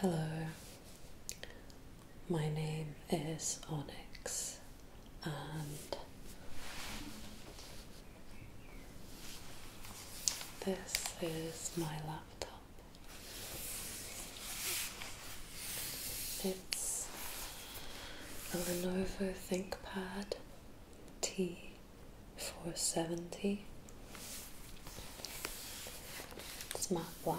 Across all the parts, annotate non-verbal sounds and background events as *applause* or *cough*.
Hello, my name is Onyx, and this is my laptop. It's a Lenovo ThinkPad T470. It's matte black.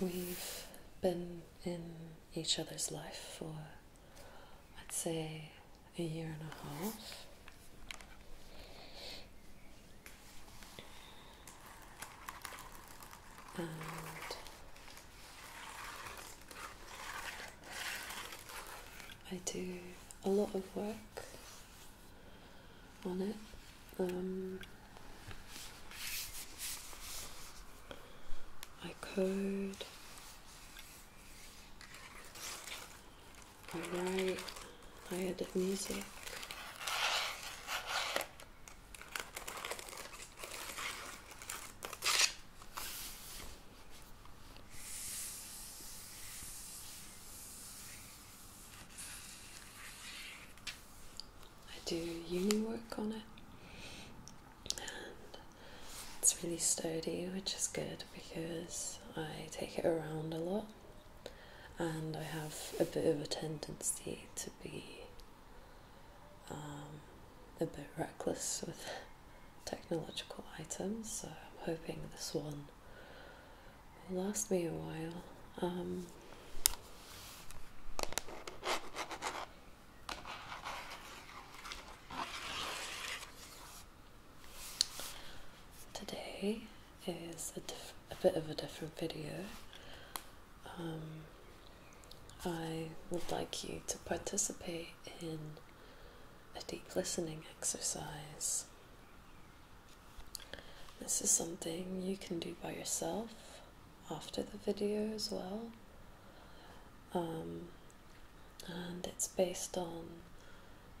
We've been in each other's life for, I'd say, a year and a half. I do a lot of work on it. Um, I code, I write, I edit music. I do uni work on it, and it's really sturdy, which is good because I take it around a lot, and I have a bit of a tendency to be um, a bit reckless with *laughs* technological items. So I'm hoping this one it lost me a while. Um, today is a, bit of a different video. Um, I would like you to participate in a deep listening exercise this is something you can do by yourself after the video as well. Um, and it's based on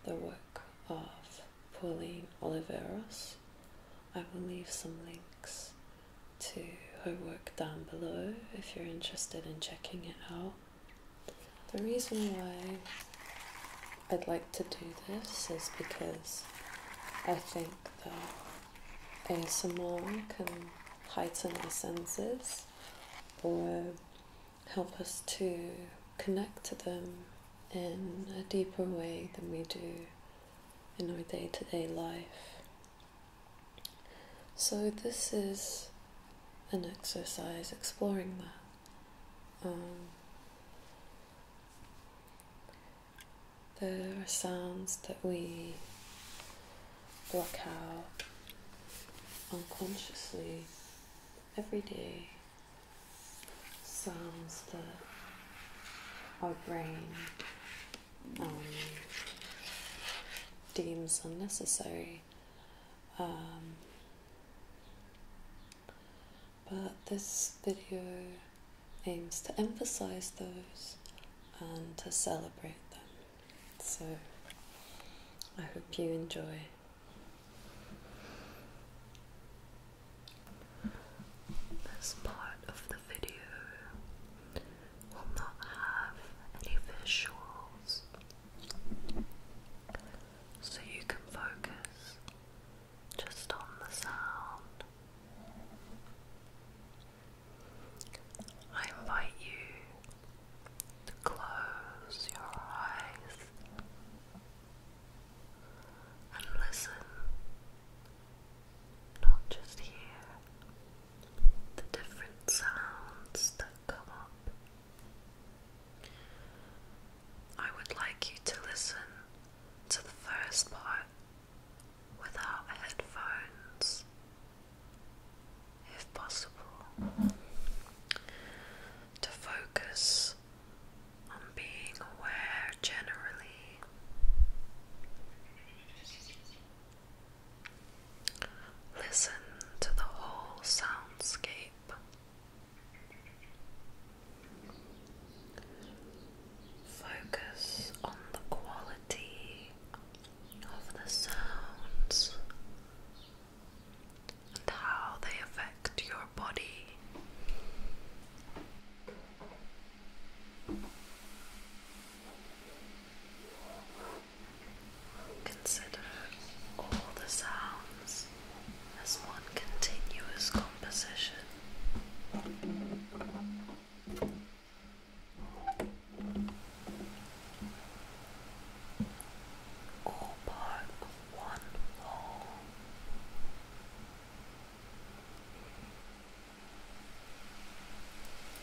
the work of Pauline Oliveros. I will leave some links to her work down below if you're interested in checking it out. The reason why I'd like to do this is because I think that ASMR can heighten our senses or help us to connect to them in a deeper way than we do in our day to day life. So, this is an exercise exploring that. Um, there are sounds that we block out unconsciously every day, sounds that our brain um, deems unnecessary. Um, but this video aims to emphasize those and to celebrate them. So I hope you enjoy. This part of the video will not have any visuals so you can focus just on the sound. I invite you to close your eyes and listen, not just hear the different sounds that come up I would like you to listen to the first part without headphones, if possible, to focus on being aware generally. Listen to the whole soundscape. Focus on the quality of the sounds and how they affect your body. Consider all the sounds as one continuous composition. All part of one whole.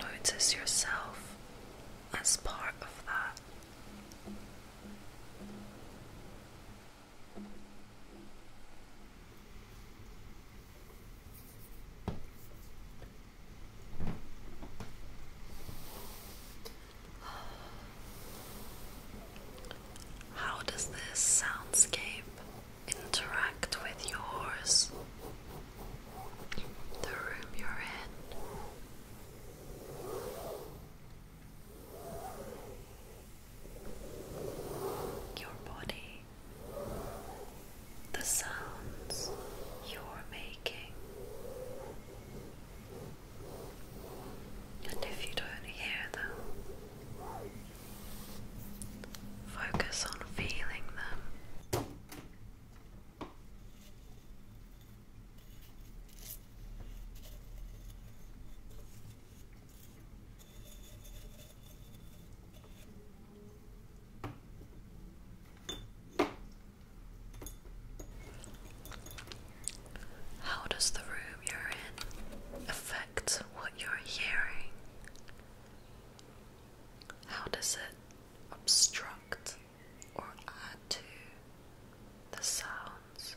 Notice yourself as part of that. How does this soundscape interact with yours? The room you're in. Your body, the sounds you're making. And if you don't hear them, focus on feeling them. How does the room you're in affect what you're hearing? How does it obstruct or add to the sounds?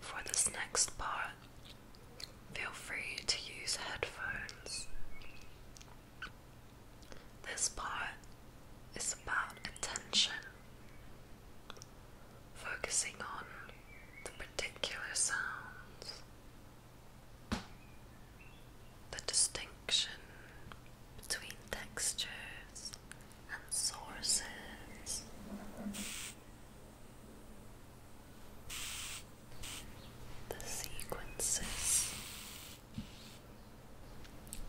For this next part, feel free to use headphones. This part is about attention, focusing on the particular sounds the distinction between textures and sources. The sequences,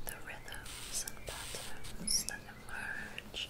the rhythms and patterns that emerge,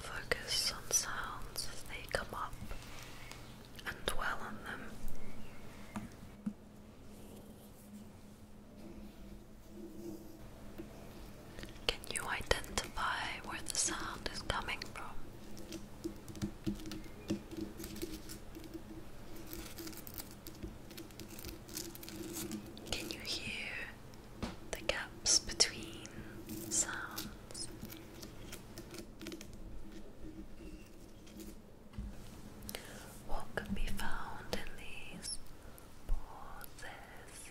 Focus on sounds as they come up and dwell on them. Can you identify where the sound is coming from? Can you hear the gaps between sounds? What can be found in these pauses?